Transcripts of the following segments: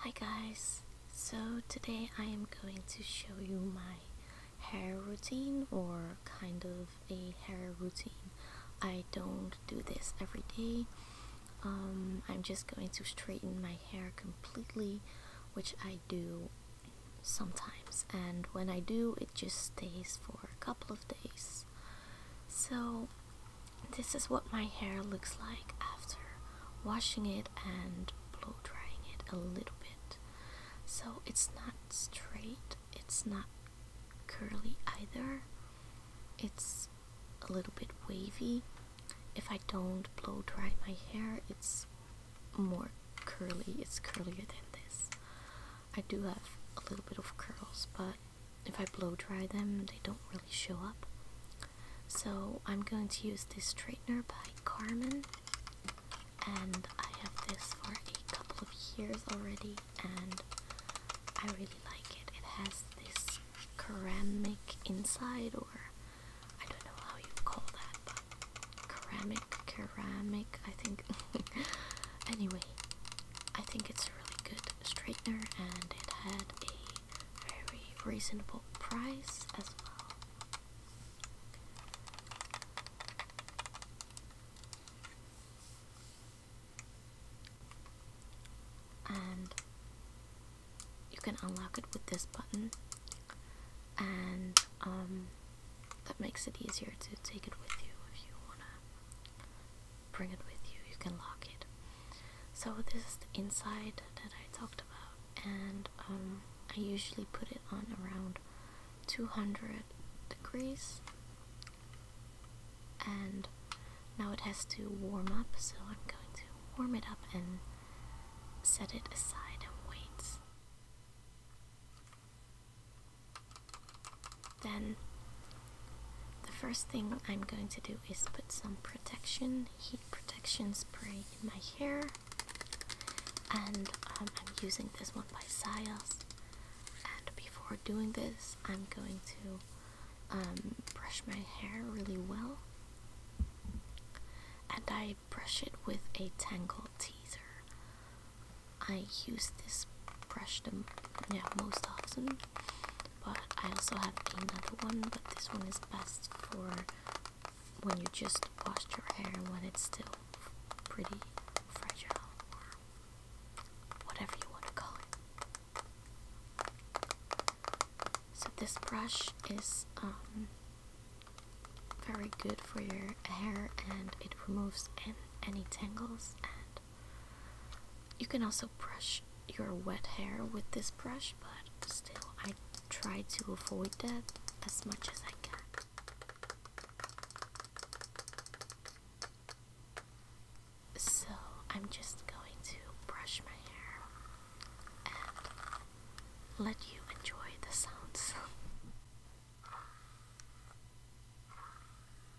Hi guys, so today I am going to show you my hair routine or kind of a hair routine. I don't do this every day. Um, I'm just going to straighten my hair completely, which I do sometimes. And when I do, it just stays for a couple of days. So this is what my hair looks like after washing it and blow drying it a little bit. So it's not straight, it's not curly either. It's a little bit wavy. If I don't blow dry my hair, it's more curly, it's curlier than this. I do have a little bit of curls, but if I blow dry them, they don't really show up. So I'm going to use this straightener by Carmen, and I have this for a couple of years already, and I really like it. It has this ceramic inside, or I don't know how you call that, but ceramic, ceramic, I think. anyway, I think it's a really good straightener, and it had a very reasonable price as well. And you can unlock it with this button, and um, that makes it easier to take it with you if you wanna bring it with you, you can lock it. So this is the inside that I talked about and um, I usually put it on around 200 degrees and now it has to warm up so I'm going to warm it up and set it aside and wait. Then the first thing I'm going to do is put some protection, heat protection spray in my hair. And um, I'm using this one by Sias. And before doing this, I'm going to um, brush my hair really well. And I brush it with a tangle teaser. I use this brush the most often but I also have another one but this one is best for when you just washed your hair and when it's still pretty fragile or whatever you want to call it. So this brush is um, very good for your hair and it removes any tangles and you can also brush your wet hair with this brush, but still, I try to avoid that as much as I can. So, I'm just going to brush my hair and let you enjoy the sounds.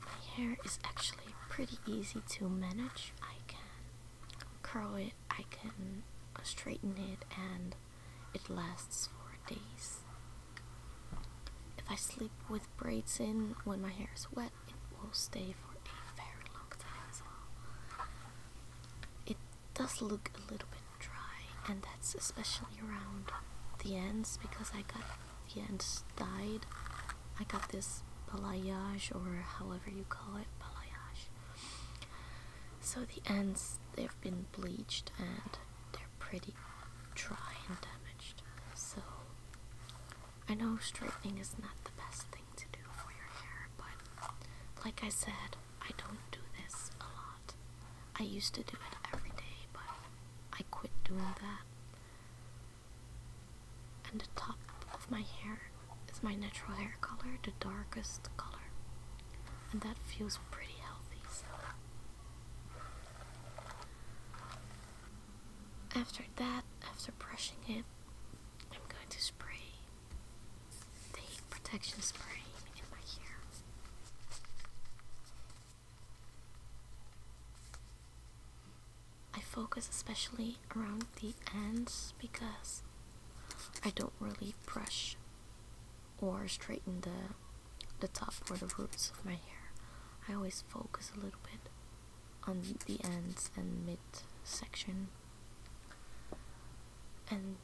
My hair is actually pretty easy to manage. I can curl it, I can straighten it, and it lasts for days. If I sleep with braids in when my hair is wet, it will stay for a very long time as well. It does look a little bit dry, and that's especially around the ends because I got the ends dyed. I got this balayage, or however you call it, balayage. So the ends, they've been bleached and they're pretty dry and damaged. So I know straightening is not the best thing to do for your hair, but like I said, I don't do this a lot. I used to do it every day, but I quit doing that. And the top of my hair is my natural hair color, the darkest color. And that feels pretty healthy, after that, after brushing it, I'm going to spray the protection spray in my hair. I focus especially around the ends because I don't really brush or straighten the the top or the roots of my hair. I always focus a little bit on the ends and mid section. And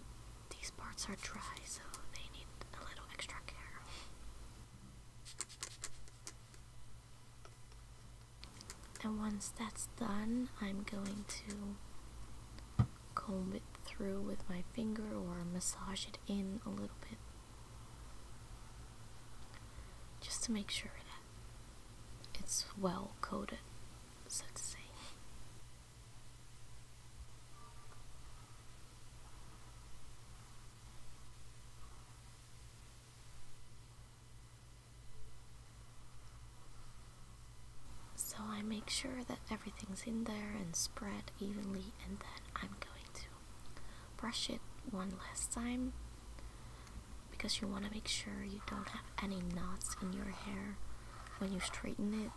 these parts are dry, so they need a little extra care. And once that's done, I'm going to comb it through with my finger or massage it in a little bit. Just to make sure that it's well coated, so to say. So I make sure that everything's in there and spread evenly, and then I'm going to brush it one last time because you want to make sure you don't have any knots in your hair. When you straighten it,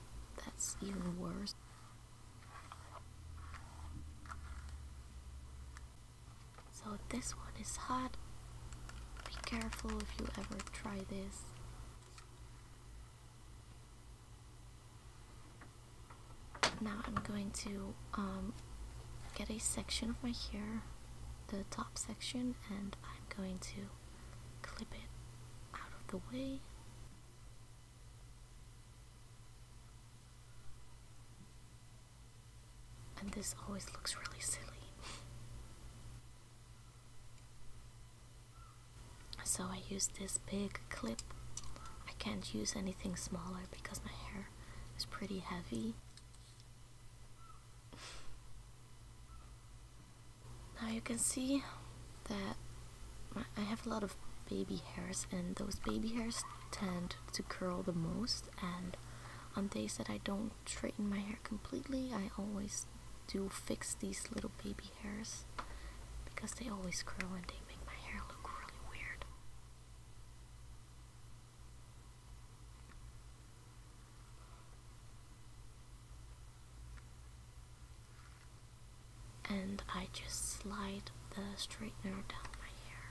that's even worse. So this one is hot. Be careful if you ever try this. Now I'm going to um, get a section of my hair, the top section, and I'm going to clip it out of the way. And this always looks really silly. so I use this big clip. I can't use anything smaller because my hair it's pretty heavy. Now you can see that I have a lot of baby hairs and those baby hairs tend to curl the most and on days that I don't straighten my hair completely I always do fix these little baby hairs because they always curl and they make my hair look really weird and I just slide the straightener down my hair.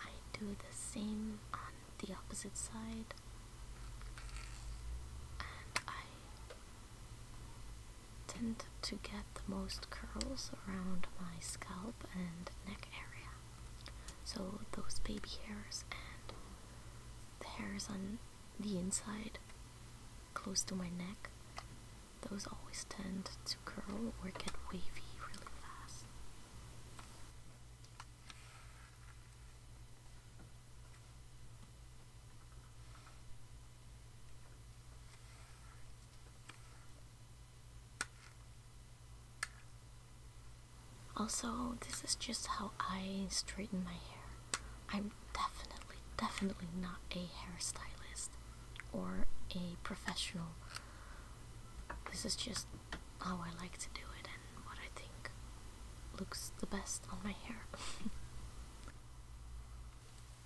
I do the same on the opposite side. I tend to get the most curls around my scalp and neck area. So those baby hairs and the hairs on the inside close to my neck, those always tend to curl or get wavy really fast. Also, this is just how I straighten my hair. I'm definitely, definitely not a hairstylist or a professional. This is just how I like to do it and what I think looks the best on my hair.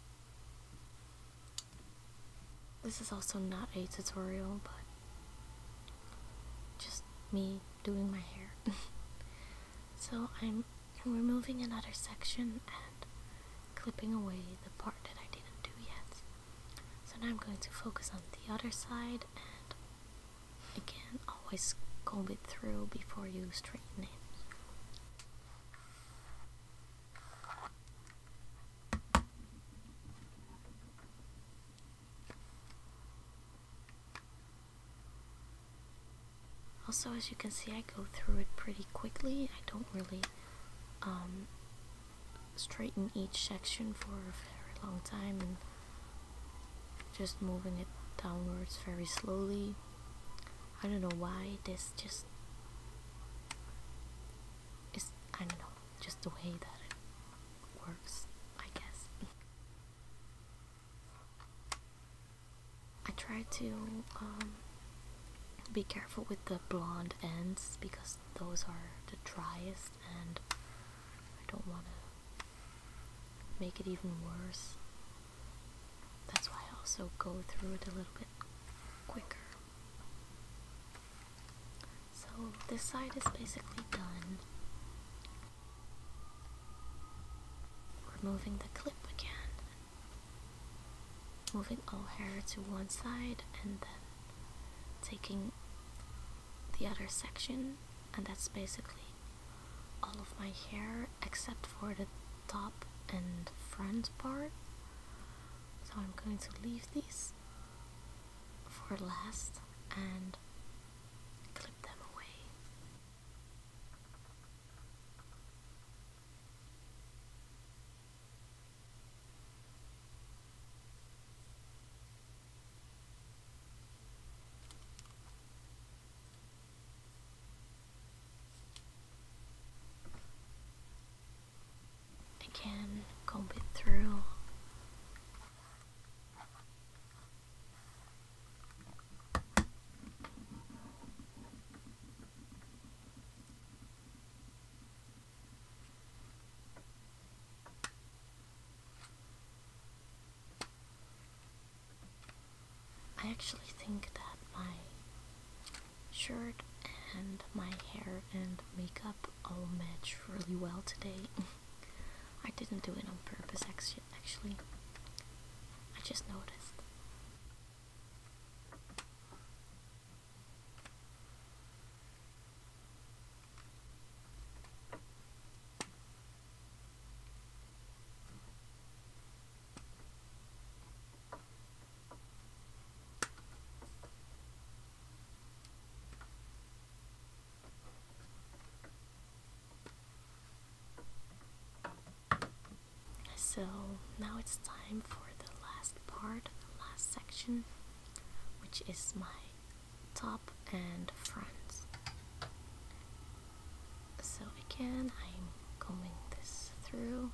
this is also not a tutorial, but just me doing my hair. so I'm removing another section and clipping away the part that I didn't do yet. So now I'm going to focus on the other side and Again, always comb it through before you straighten it. Also, as you can see, I go through it pretty quickly. I don't really um, straighten each section for a very long time just moving it downwards very slowly I don't know why this just is I don't know just the way that it works I guess I try to um, be careful with the blonde ends because those are the driest and I don't want to make it even worse. That's why I also go through it a little bit quicker. So this side is basically done. Removing the clip again. Moving all hair to one side and then taking the other section, and that's basically all of my hair except for the top and front part. So I'm going to leave these for last and clip them away. Again, comb it through. I actually think that my shirt and my hair and makeup all match really well today. I didn't do it on purpose actually. I just noticed. So now it's time for the last part, the last section, which is my top and front. So again, I'm combing this through.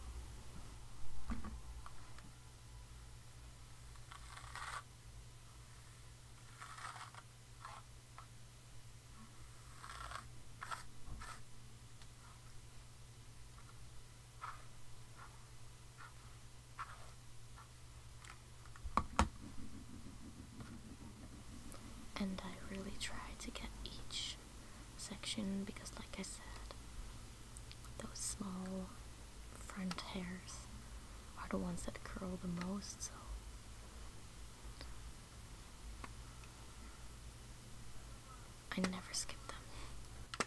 And I really try to get each section because, like I said, those small front hairs are the ones that curl the most, so. I never skip them.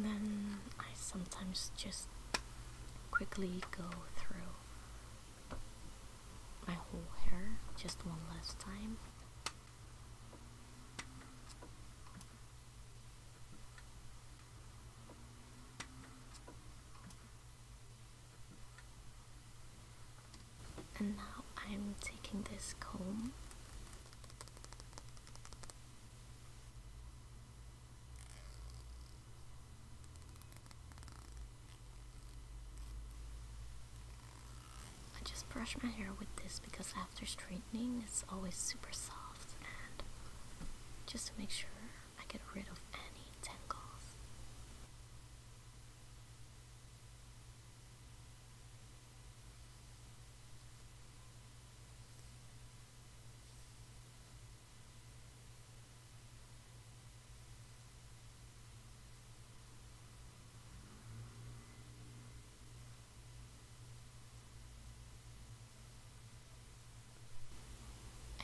then I sometimes just quickly go through my whole hair just one last time. And now I'm taking this comb. I just brush my hair with this because after straightening it's always super soft and just to make sure I get rid of any tangles.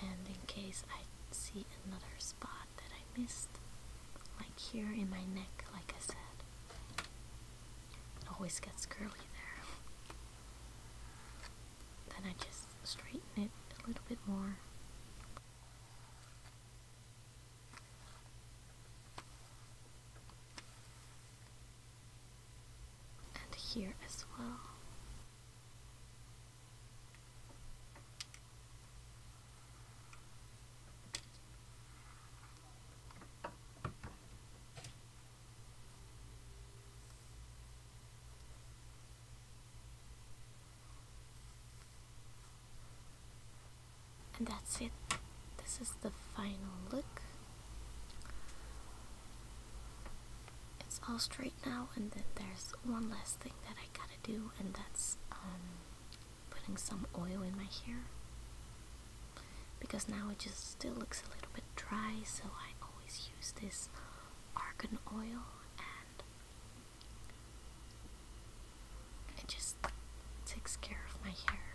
And in case I see another spot, that I missed. Like here in my neck, like I said. It always gets curly there. Then I just straighten it a little bit more. And here as well. And that's it. This is the final look it's all straight now, and then there's one last thing that I gotta do, and that's um, putting some oil in my hair because now it just still looks a little bit dry, so I always use this argan oil and it just takes care of my hair.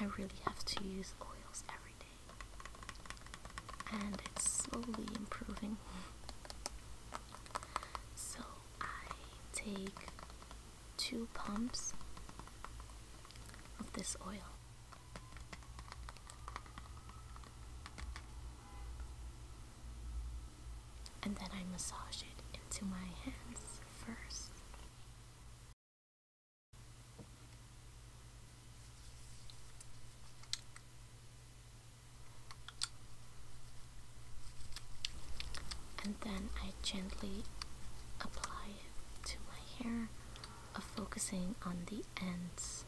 I really have to use oils every day, and it's slowly improving. So I take two pumps of this oil. And then I massage it into my hands first and then I gently apply it to my hair, focusing on the ends.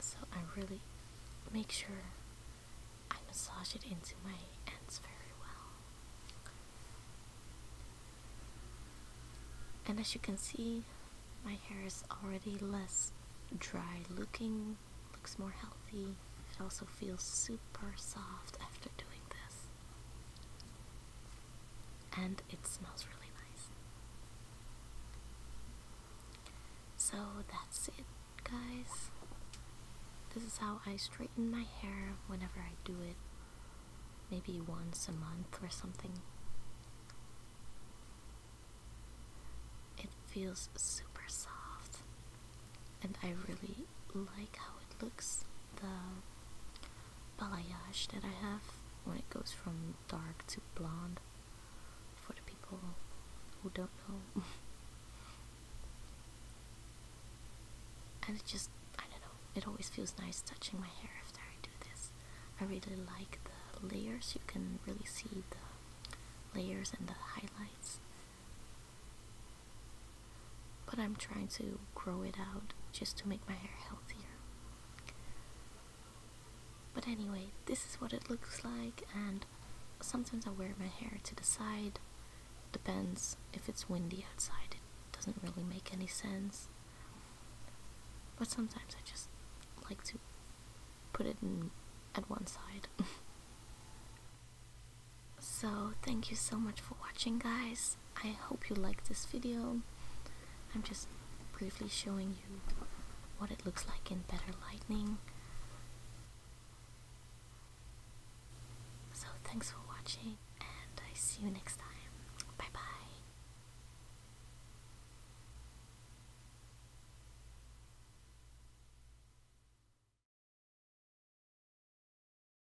So I really make sure I massage it into my ends very well. And as you can see, my hair is already less dry looking, looks more healthy. It also feels super soft after doing this and it smells really nice. So that's it, guys. This is how I straighten my hair whenever I do it, maybe once a month or something. It feels super soft, and I really like how it looks. Though balayage that I have when it goes from dark to blonde for the people who don't know. and just, I don't know, it always feels nice touching my hair after I do this. I really like the layers, you can really see the layers and the highlights. But I'm trying to grow it out just to make my hair healthier. But anyway, this is what it looks like and sometimes I wear my hair to the side. Depends if it's windy outside, it doesn't really make any sense. But sometimes I just like to put it in, at one side. So thank you so much for watching guys. I hope you like this video. I'm just briefly showing you what it looks like in better lighting. So thanks for watching and I see you next time. Bye bye.